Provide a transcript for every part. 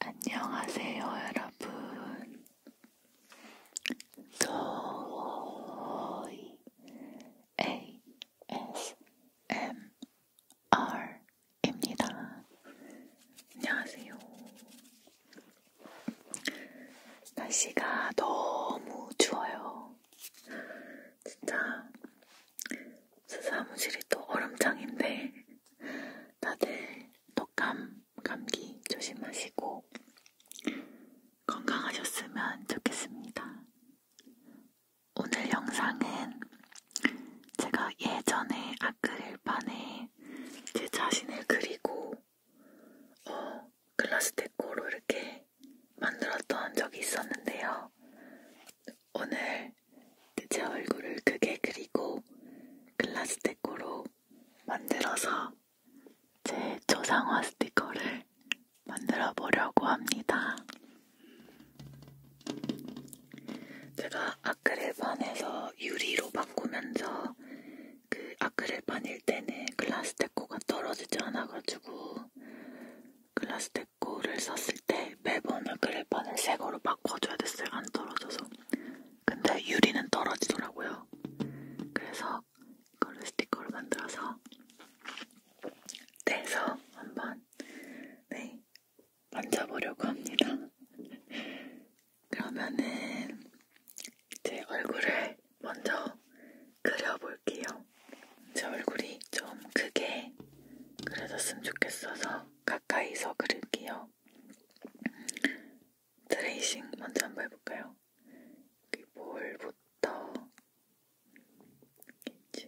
안녕하세요, 여러분. 도이 ASMR입니다. 안녕하세요. 날씨가 너무 추워요. 진짜 사무실이 또 얼음장인데 다들 독감, 감기 조심하시고 건강하셨으면 좋겠습니다. 오늘 영상은 제가 예전에 아크릴판에 제 자신을 그리고 어, 글라스데코로 이렇게 만들었던 적이 있었는데요. 오늘 제 얼굴을 크게 그리고 글라스데코로 만들어서 제 초상화 스티커를 만들어 보려고 합니다. 제가 아크릴판에서 유리로 바꾸면서 그 아크릴판일 때는 글라스데코가 떨어지지 않아가지고 글라스테코를 썼을 때 매번 아크릴판을 새 거로 바꿔줘야 됐어요. 안 떨어져서. 근데 유리는 떨어지더라고요. 그래서 이거를 스티커로 만들어서 떼서 한번 네 만져보려고 합니다. 그러면은 제 얼굴을 먼저 그려볼게요. 제 얼굴이 좀 크게 그려졌으면 좋겠어서 가까이서 그릴게요. 트레이싱 먼저 한번 해볼까요? 여기 볼부터 쭉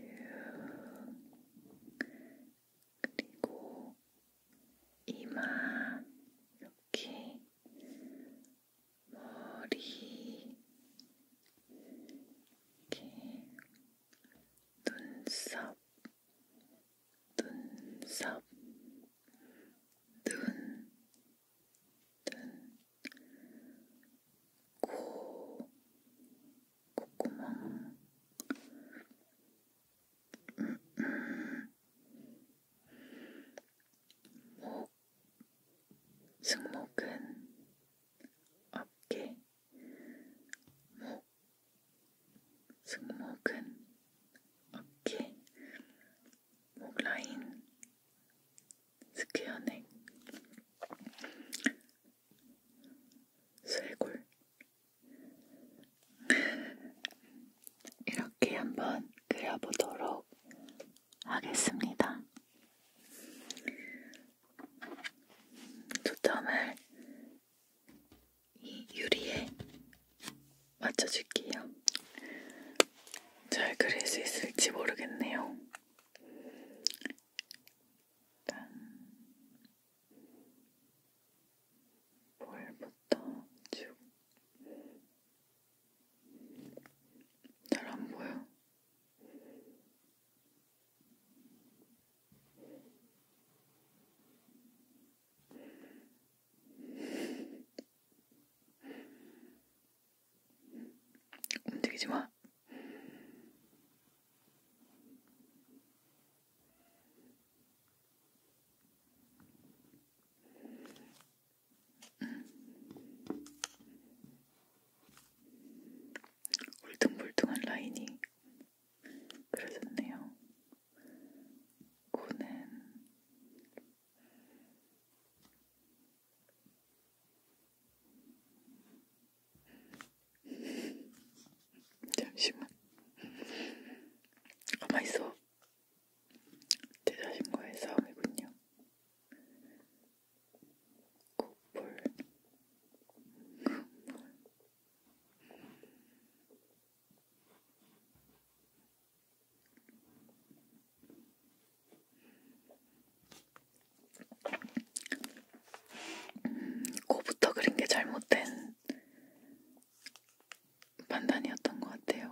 그리고 이마 이렇게 머리, 이렇게 눈썹, 눈썹, 눈, 눈, 코, 콧구멍, 목, 음, 음. 승모근, 어깨, 목, 승모근, 어깨, 목 라인, 스퀘어 넥, 쇄골. 이렇게 한번 그려보도록 하겠습니다. 초점을 이 유리에 맞춰줄게요. 잘 그릴 수 있을지 모르겠네요. 일단 볼부터 쭉 잘안 보여? 움직이지 마. 울퉁불퉁한 라인이 그려졌네요. 코는 잠시만 가만있어 제 자신과의 싸움이군요. 국물. 국물. 코부터 그린 게 잘못된 판단이었던 것 같아요.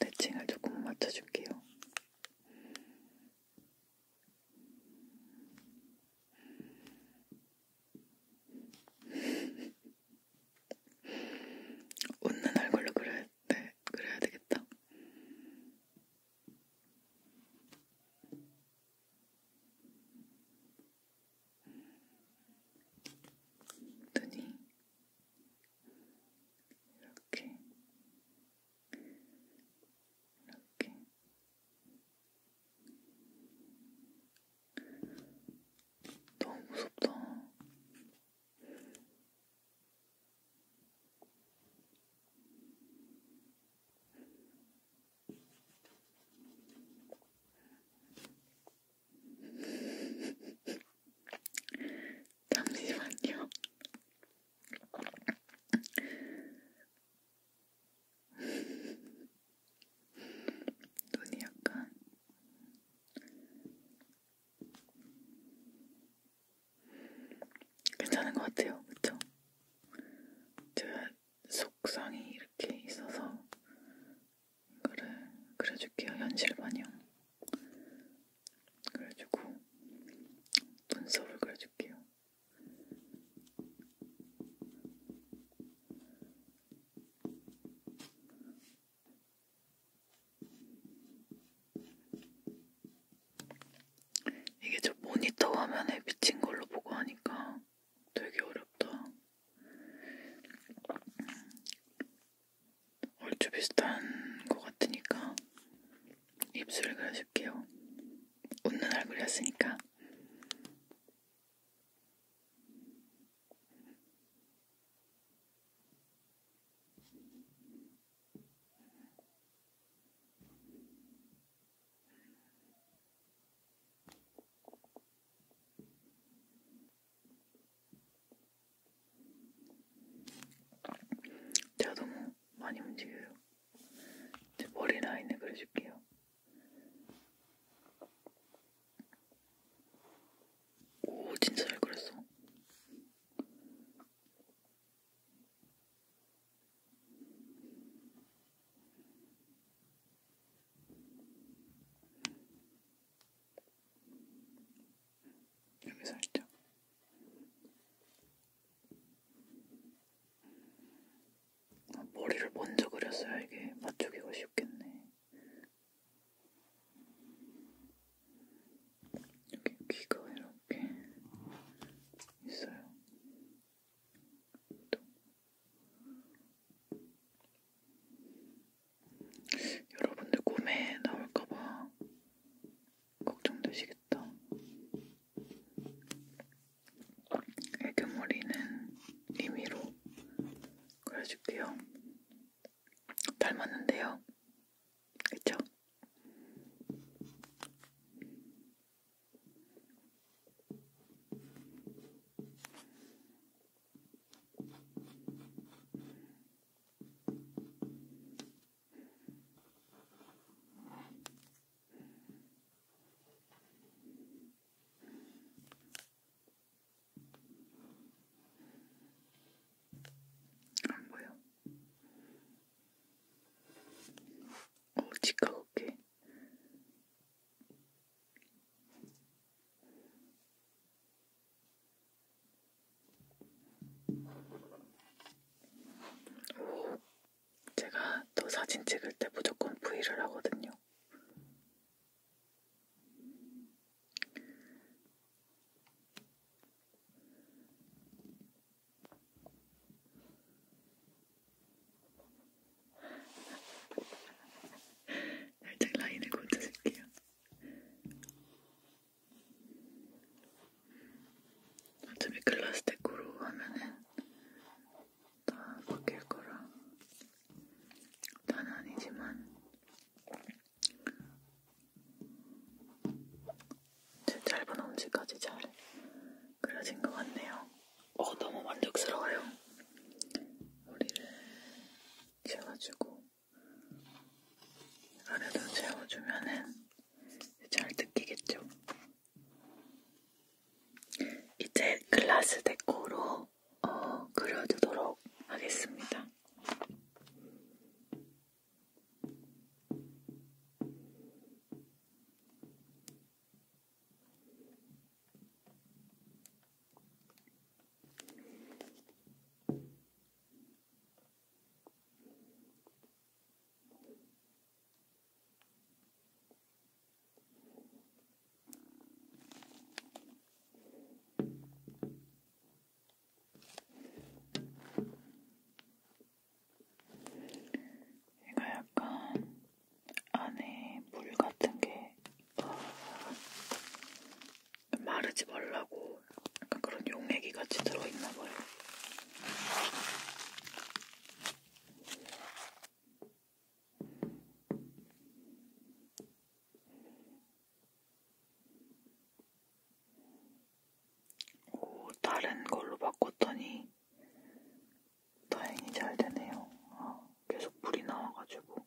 대칭을 조금 맞춰줄게요. 웃는 얼굴로 그려야, 네, 그려야 되겠다. 눈이 이렇게 이렇게 너무 무섭다. 잠시만요. 눈이 약간 괜찮은 것 같아요, 그쵸? 제가 속상이 이렇게 있어서 그래, 그래줄게요. 현실 반영. 그래주고 눈썹을 그려줄게요. 이게 저 모니터 화면에 비친 걸로 보고 하니까 되게 어렵다. 얼추 비슷한 것 같으니까 입술을 그려줄게요. 웃는 얼굴이었으니까. 제가 너무 많이 움직여요. 제 머리 라인을 그려줄게요. 오, 진짜 잘 그렸어. 여기 살짝. 아, 머리를 먼저 그렸어야 이게 맞추기가 쉽겠네. 여기 귀가 이렇게 있어요. 또. 여러분들 꿈에 나올까봐 걱정되시겠다. 애교머리는 임의로 그려줄게요. 닮았는데요. 그쵸? 안 보여? 오, 어, 치카고게. 오, 제가 또 사진 찍을 때 무조건 V를 하거든요. 살짝 라인을 고쳐줄게요. 어차피 글라스 데코로 하면은 다 바뀔 거라 단 아니지만 제 짧은 엄지까지 잘 그려진 것 같네요. 어 너무 만족스러워요. 머리를 채워주고 아래도 채워주면은 잘 뜯기겠죠? 이제 글라스 데코로 어, 그려두도록 하겠습니다. 이거 약간 안에 물 같은 게 있더라고요. 마르지 말라고 약간 그런 용액이 같이 들어있나 봐요. 오, 다른 걸로 바꿨더니 다행히 잘 되네요. 아, 계속 불이 나와가지고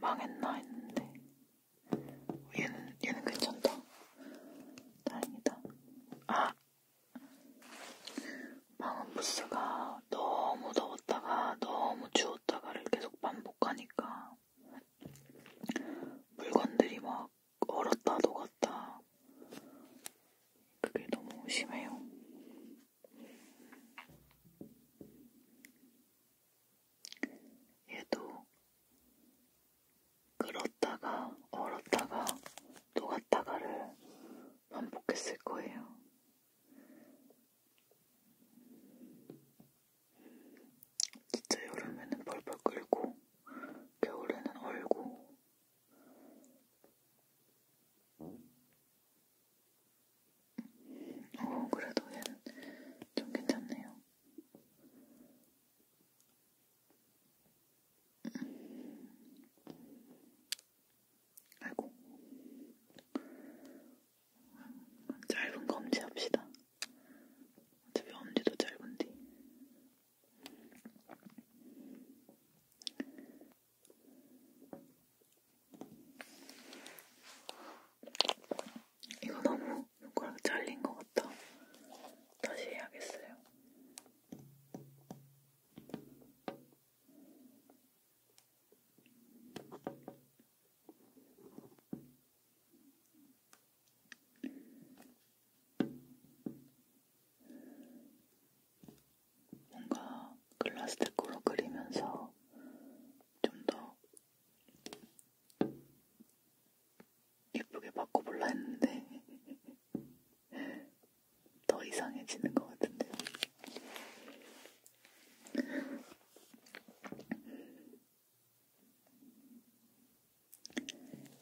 망했나 했는데 얘는 얘는 괜찮다. 다행이다. 아 방음 부스가 너무 더웠다가 너무 추웠다가를 계속 반복하니까 물건들이 막 얼었다 녹았다. 그게 너무 심해요. 얘도 끓었다가 얼었다가 녹았다가를 반복했을 거예요. 진짜 여름에는 벌벌 끓고 겨울에는 얼고 어, 그래도 얘는 좀 괜찮네요. 아이고. 짧은 검지 합시다. 어차피 엄지도 짧은데. 이거 너무 손가락 잘린 것 같아. 다시 해야겠어요. 뭔가 글라스테코로 그리면서 좀 더 예쁘게 바꿔볼라 했는데 더 이상해지는 것 같은데요.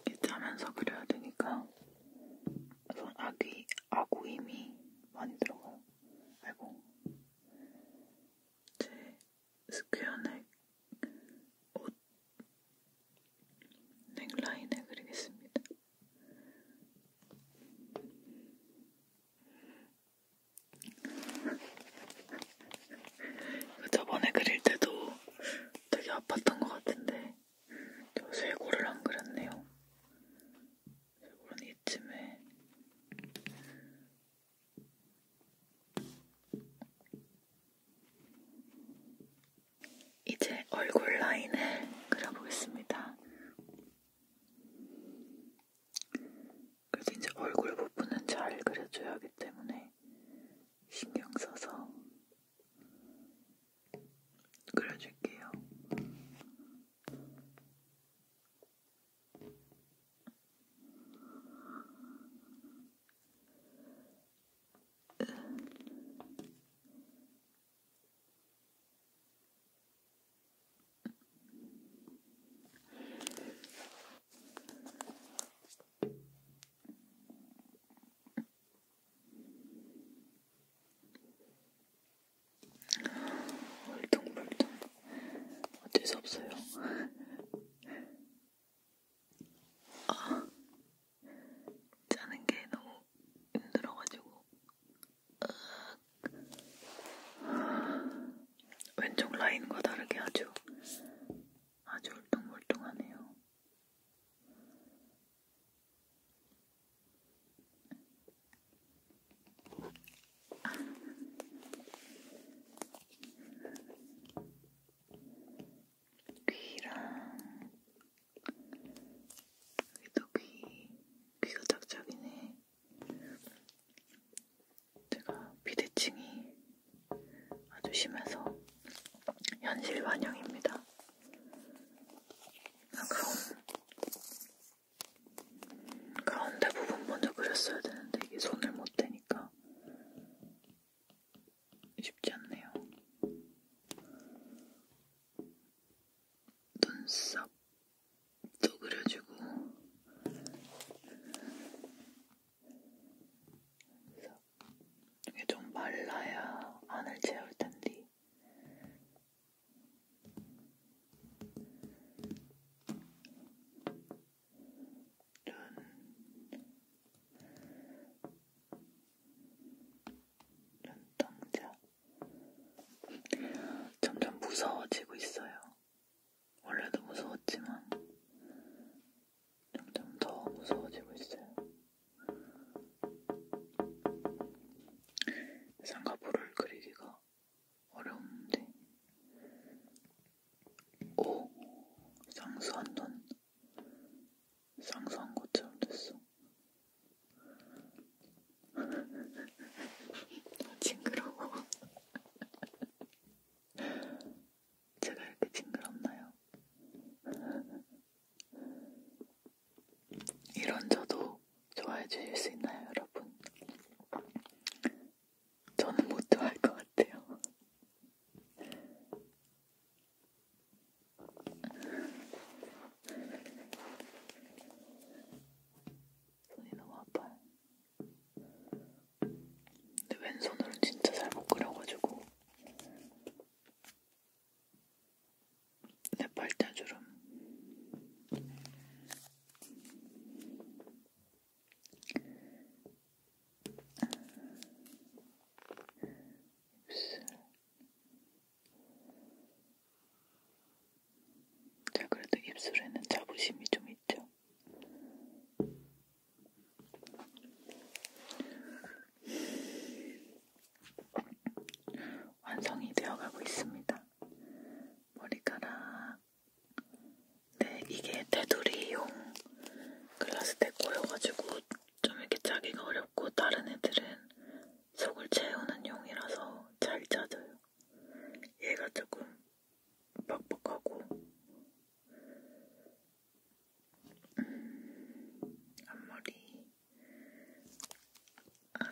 이렇게 하면서 그려야 되니까 우선 아귀, 아구 힘이 많이 들어가요. 아이고. 제 스퀘어넥 옷 넥라인을 그리겠습니다. 그 저번에 그릴 때도 되게 아팠던 것 같은데 저 쇄골을 안 그렸네요. 여러분 이쯤에 이제 얼굴 라인을 그려보겠습니다. 그래서 이제 얼굴 부분은 잘 그려줘야 하기 때문에 신경 써서 그려줄게요. 울퉁불퉁 어쩔 수 없어요. 아, 짜는 게 너무 힘들어가지고 왼쪽 라인과 다르게 아주 아주 울퉁불퉁하네요. 귀랑 여기도 귀 귀가 짝짝이네. 제가 비대칭이 아주 심해서 현실 반영입니다. 가운, 가운데 부분 먼저 그렸어야 되는데 이게 손을 못 대니까 쉽지 않네요. 눈썹도 그려주고 이게 좀 말라야 안을 채울 텐데 눈동자 점점 무서워지고 있어요. 원래도 무서웠지만 점점 더 무서워지고 있어요. 쌍꺼풀을 그리기가 어려운데 오! 쌍수한 돈 쌍수한 것처럼 됐어 징그러워 제가 이렇게 징그럽나요? 이런 저도 좋아해 주실 수 있나요, 여러분? 저는 못 좋아할 것 같아요. 손이 너무 아파요. 근데 왼손으로는 진짜 잘 못 그려가지고 내 팔자주름 입술 자 그래도 입술에는 자부심이 좀 있죠. 완성이 되어가고 있습니다. 머리카락. 네, 이게 테두리용 글라스테코여가지고 좀 이렇게 짜기가 어렵고 다른 애들은 속을 채우는 용이라서 잘 짜져요. 얘가 조금 뻑뻑하고 음, 앞머리 아,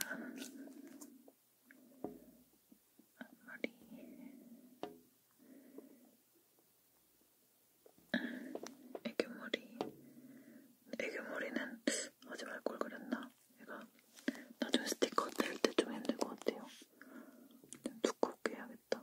앞머리 애교머리 애교머리는 하지 말걸 그랬나? 얘가 나중에 스티커 뗄때좀 힘들 것 같아요. 좀 두껍게 해야겠다.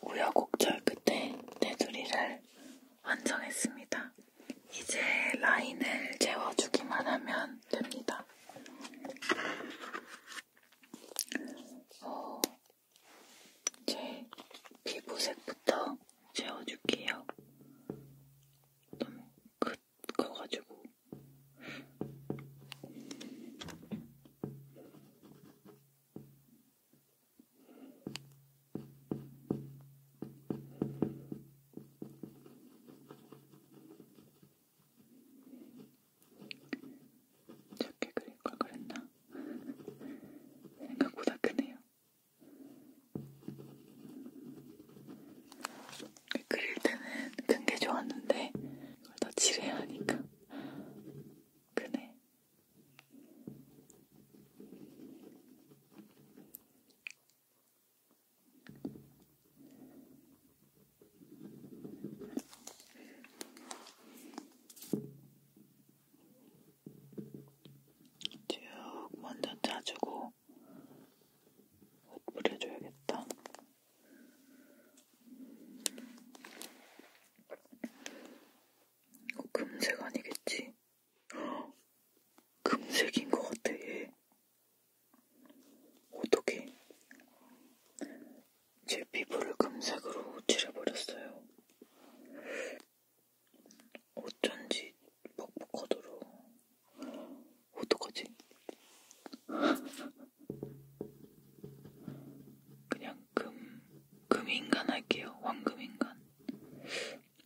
우여곡절 끝에 테두리를 완성했습니다. 이제 라인을 채워주기만 하면 하시면 됩니다. 어, 제 피부색부터 채워줄게요. 너무 긋거가지고. 작게 그릴 걸 그랬나? 생각보다 크네요. 그릴 때는 큰 게 좋았는데 이걸 더 칠해야 하니까 크네. 쭉 먼저 짜주고 옷 뿌려줘야겠다. 이거 금색 아니겠지? 금색인 것 같아. 얘. 어떻게? 제 피부를 금색으로 칠해버렸어요. 어쩐지 뻑뻑하더라. 어떡하지? 그냥 금, 금인간 할게요. 황금인간.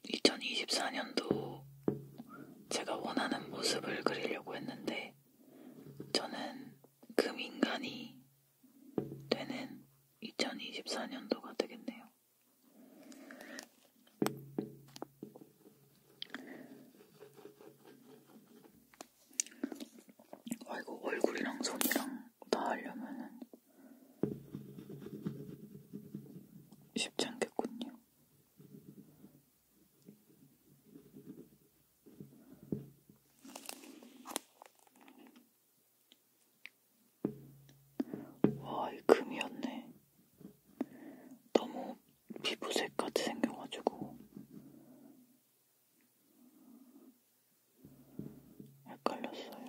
2024년도 제가 원하는 모습을 그리려고 했는데, 저는 금 인간이 되는 2024년도가 되겠네요. 아이고, 얼굴이랑 손이랑 다 하려면은 쉽지 않겠군요. 와, 이 금이었네. 너무 피부색같이 생겨가지고 헷갈렸어요.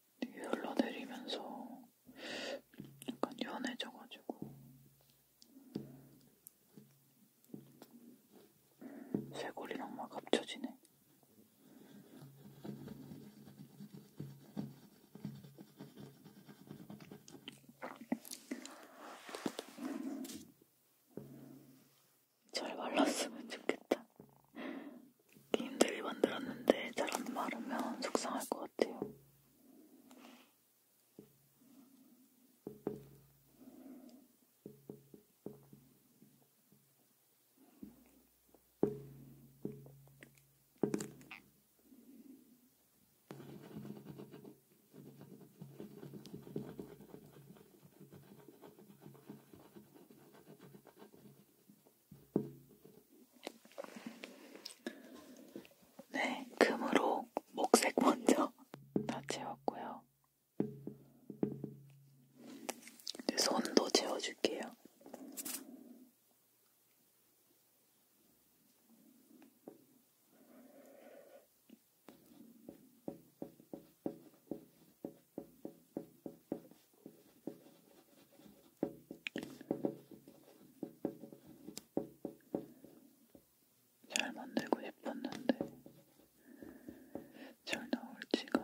흘러내리면서 약간 연해져가지고 쇄골이랑 막 합쳐지네. 잘 말랐으면 좋겠다. 힘들게 만들었는데 잘 안 마르면 속상할 것 같아요. 네, 금으로 목색 먼저 다 채웠고요. 이제 손도 채워줄게요. 잘 만들고 싶었는데 잘 나올지가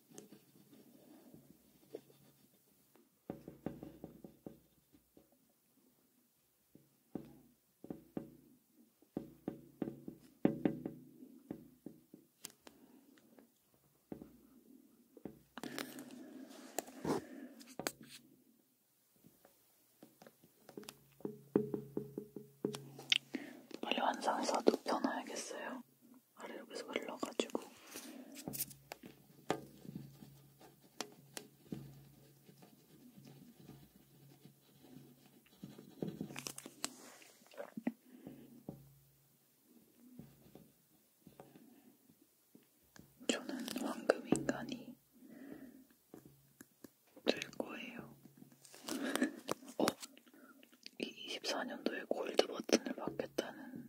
빨리 완성해서 눕혀놔야겠어요. 아래쪽에서 흘러가지고 저는 황금 인간이 될 거예요. 어? 24년도에 골드 버튼을 받겠다는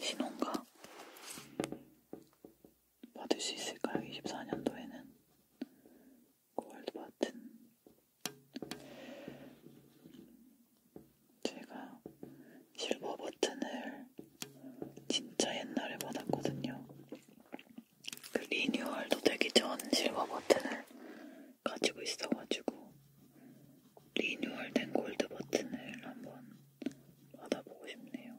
신호인가? 받을 수 있을까요? 24년도에는 골드 버튼 제가 실버 버튼을 진짜 옛날에 받았거든요. 그 리뉴얼도 되기 전 실버 버튼을 가지고 있어가지고 리뉴얼된 골드 버튼을 한번 받아보고 싶네요.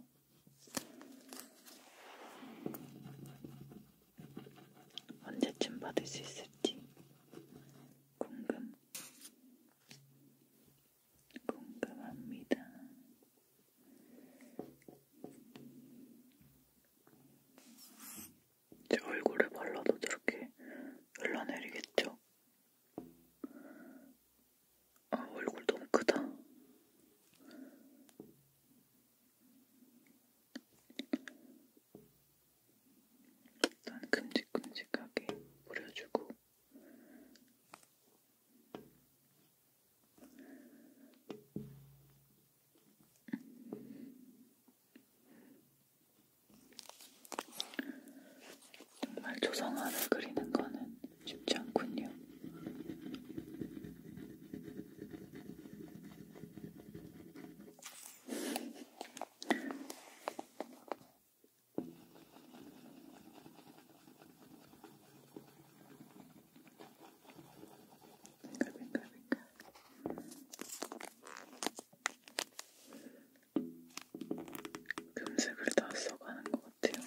언제쯤 받을 수 있을지 궁금, 궁금합니다. 제 얼굴에 발라도 저렇게 흘러내리겠죠? 아, 얼굴 너무 크다. 일단 큼직큼직하게 뿌려주고 정말 조성화를 그리는 거는 쉽지 않군요. 빙글빙글빙글 금색을 다 써가는 것 같아요.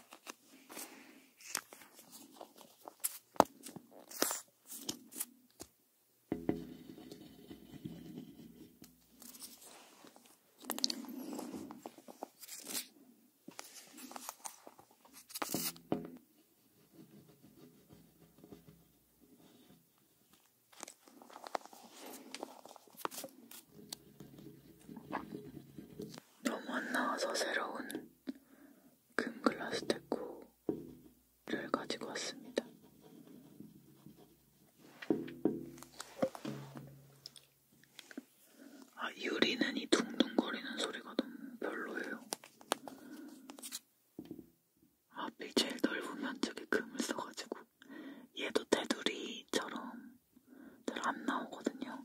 너무 안 나와서 새로운 금 글라스 데코를 가지고 왔습니다. 아, 유리는 이 둥둥거리는 소리가 너무 별로예요. 하필 제일 넓은 면적에 금을 써가지고 얘도 테두리처럼 잘 안 나오거든요.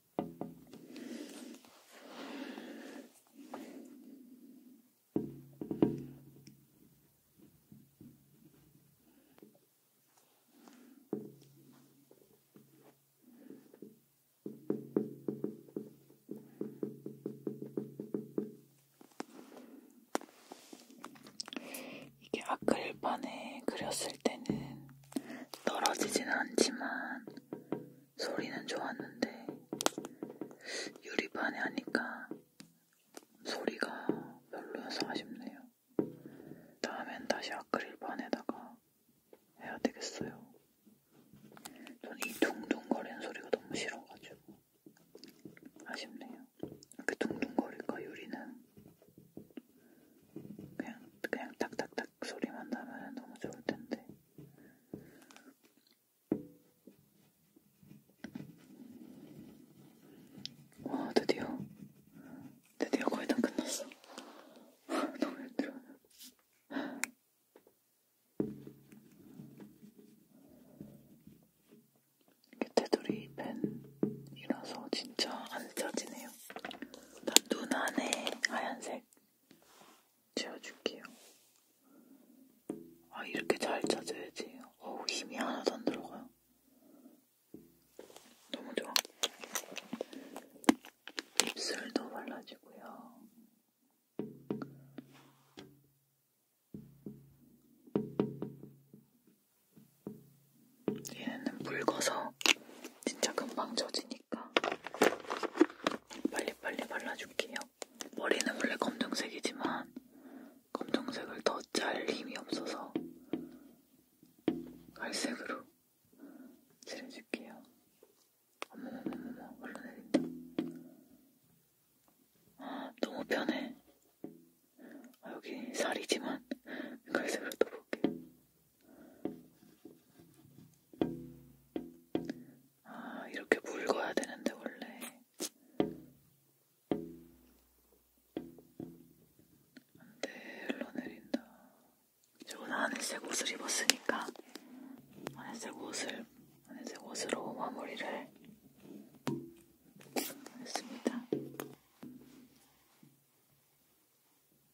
이게 아크릴판에 그렸을 때는 떨어지진 않지만 소리는 좋았는데 유리판에 하니까 소리가 별로여서 아쉽네요. 다음엔 다시 아크릴판에다가 해야 되겠어요. 전 이 둥둥거리는 소리가 너무 싫어가지고 아쉽네요. 이렇게 그 둥둥거릴까 유리는 그냥 그냥 탁탁탁 소리만 나면 너무 좋을 텐데. 와, 어, 드디어, 드디어 거의 다 끝났어. 너무 힘들어. 이게 테두리 펜이라서 진짜 안 짜지네요. 눈 안에 하얀색 지워줄게요. 아, 이렇게 잘 젖어야지. 어우, 힘이 하나도 안 들어가요. 너무 좋아. 입술도 발라주고요. 얘는 묽어서 진짜 금방 젖으니까 빨리빨리 발라줄게요. 머리는 원래 검정색이지만 검정색을 더 짤 힘이 없어서 갈색으로 칠해줄게요. 어머머머머머 흘러내린다. 아 너무 편해. 아, 여기 살이지만 갈색으로 떠볼게요. 아, 이렇게 묽어야 되는데, 원래. 안 돼, 흘러 내린다. 좋은 하늘색 옷을 입었으니까, 하늘색 옷을, 하늘색 옷으로 마무리를 했습니다.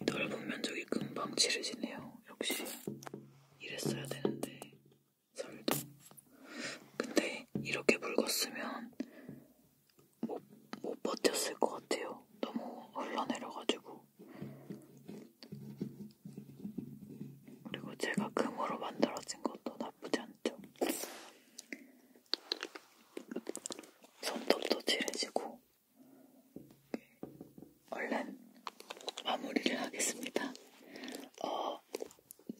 넓은 면적이 금방 칠해지네요. 역시 이랬어야 되는데 설도. 근데 이렇게 묽었으면 못, 못 버텼을 것 같아요. 너무 흘러내려가지고. 그리고 제가 금으로 만들어진 것도 나쁘지 않죠. 손톱도 칠해지고 얼른 마무리를 하겠습니다. 어,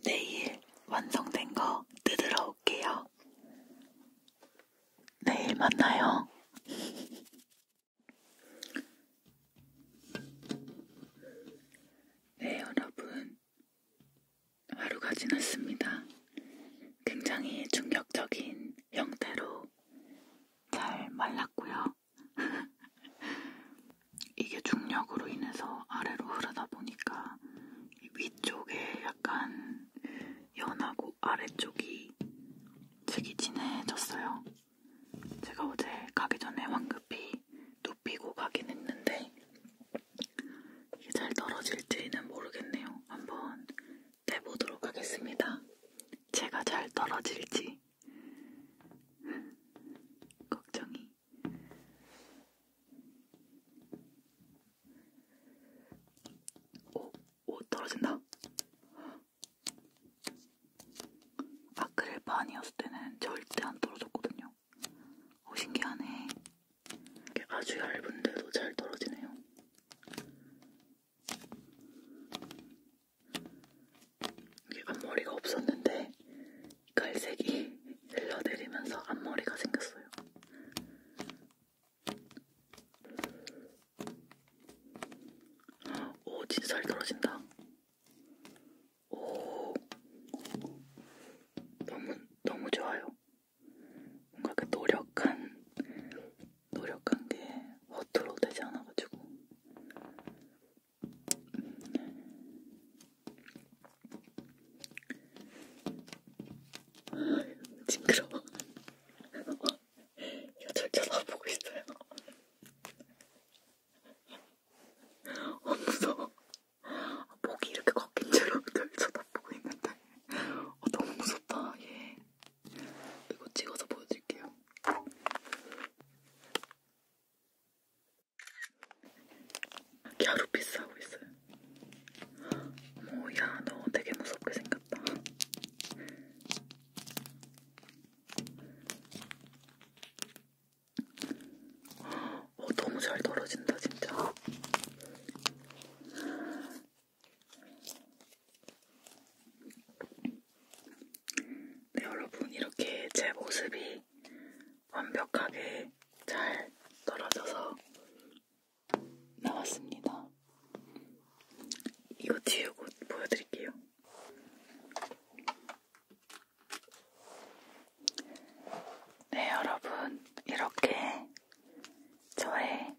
내일 완성된 거 뜯으러 올게요. 내일 만나요. 네, 여러분. 하루가 지났습니다. 굉장히 충격적인 형태로 잘 말랐고요. 이게 중력으로 인해서 아래로 흐르다 보니까 위쪽에 약간 연하고 아래쪽이 되게 진해졌어요. 제가 어제 가기 전에 황급히 눕히고 가긴 했는데 이게 잘 떨어질지는 모르겠네요. 한번 해보도록 하겠습니다. 제가 잘 떨어질지 걱정이. 오, 오 떨어진다. 아크릴바 아니었을 때는 절대 안 떨어졌거든요. 오 신기하네. 아주 얇은데도 잘 떨어지네요. 여기 앞머리가 없었는데 갈색이 흘러내리면서 앞머리가 생겼어요. 오, 진짜 잘 떨어진다. 오, 너무, 너무 좋아요. 뭔가 그 노력한 노력한 게 허투루 되지 않아가지고 음. 징그러워. 이거 절 쳐다보고 있어요. 어, 무서워. 아, 목이 이렇게 꺾인 채로 절 쳐다보고 있는데. 어, 너무 무섭다, 얘. 이거 찍어서 보여드릴게요. 갸루피스 하고 있어요. 뭐야, 너 되게 무섭게 생겼다. 어, 너무 잘 떨어진다, 진짜. 네, 여러분, 이렇게 제 모습이 완벽하게 잘 떨어져서 나왔습니다. 이거 뒤에 곧 보여드릴게요. 네, 여러분, 이렇게 저의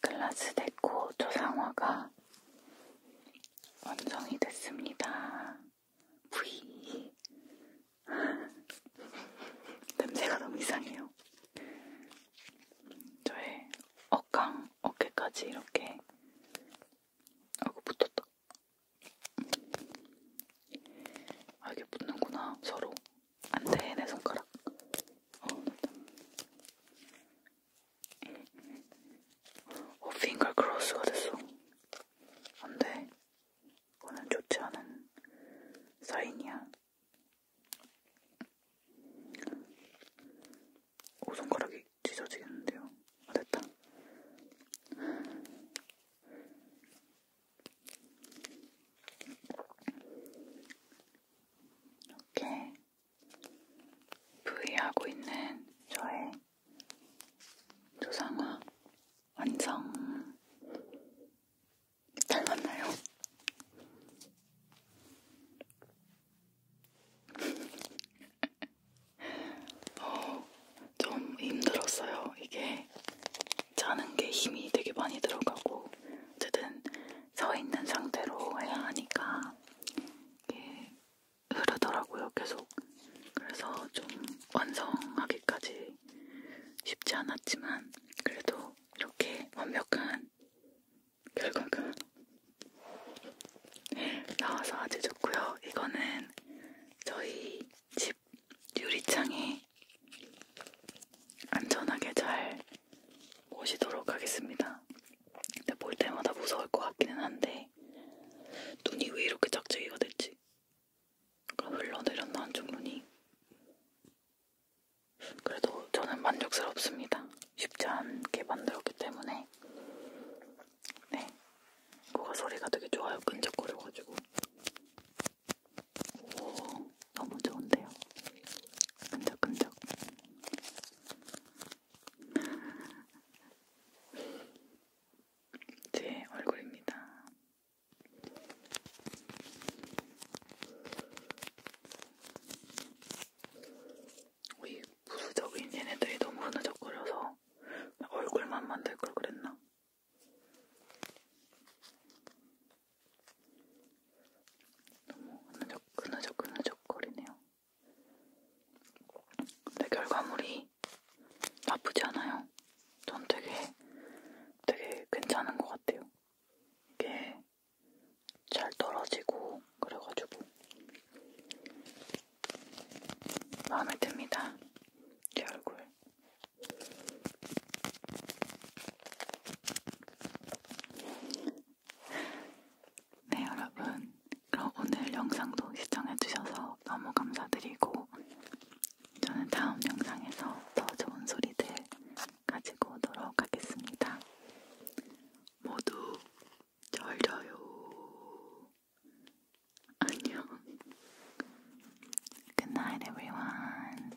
글라스 데코 조상화가 완성이 됐습니다. 부이 냄새가 너무 이상해요. 저의 어강, 어깨까지 이렇게 아이고 붙었다. 아 이게 붙는구나 서로. 안돼 내 손가락. 어, 핑거 크로스가 됐어. 안돼. 이거는 좋지 않은 사인이야. 오 손가락이 찢어지겠는데요. 아, 됐다. 이렇게 부위하고 있는 저의 조상화 완성 닮았나요? 어, 좀 힘들었어요. 이게 짜는 게 힘이 되게 많이 들어가고 사람들은 서 있는 상태로 해야 하니까 이게 흐르더라고요, 계속. 그래서 좀 완성하기까지 쉽지 않았지만 그래도 이렇게 완벽한 결과가 나와서 아주 좋고요. 이거는 저희 집 유리창에 안전하게 잘 모시도록 하겠습니다. 근데 볼 때마다 무서울 것 같기는 한데 눈이 왜 이렇게 짝짝이가 됐지? 그러니까 흘러내렸나 한쪽 눈이? 그래도 저는 만족스럽습니다. 쉽지 않게 만들었기 때문에 네, 코가 소리가 되게 좋아요. 끈적거려가지고 오, 너무 좋은데요? 끈적끈적. 제 얼굴입니다. 우리 부수적인 얘네들이 너무 흐느적거려서 얼굴만 만들 걸 그랬나? 너무 흐느적, 흐느적, 흐느적거리네요. 근데 결과물이 나쁘지 않아요. 전 되게, 되게 괜찮은 것 같아요. 이게 잘 떨어지고, 그래가지고. 마음에 듭니다. 제 얼굴. 네, 여러분. 그럼 오늘 영상도 시청해주셔서 너무 감사드리고, 저는 다음 영상에서 더 좋은 소리들 가지고 오도록 하겠습니다. 모두 잘 자요. 안녕. Good night, everyone.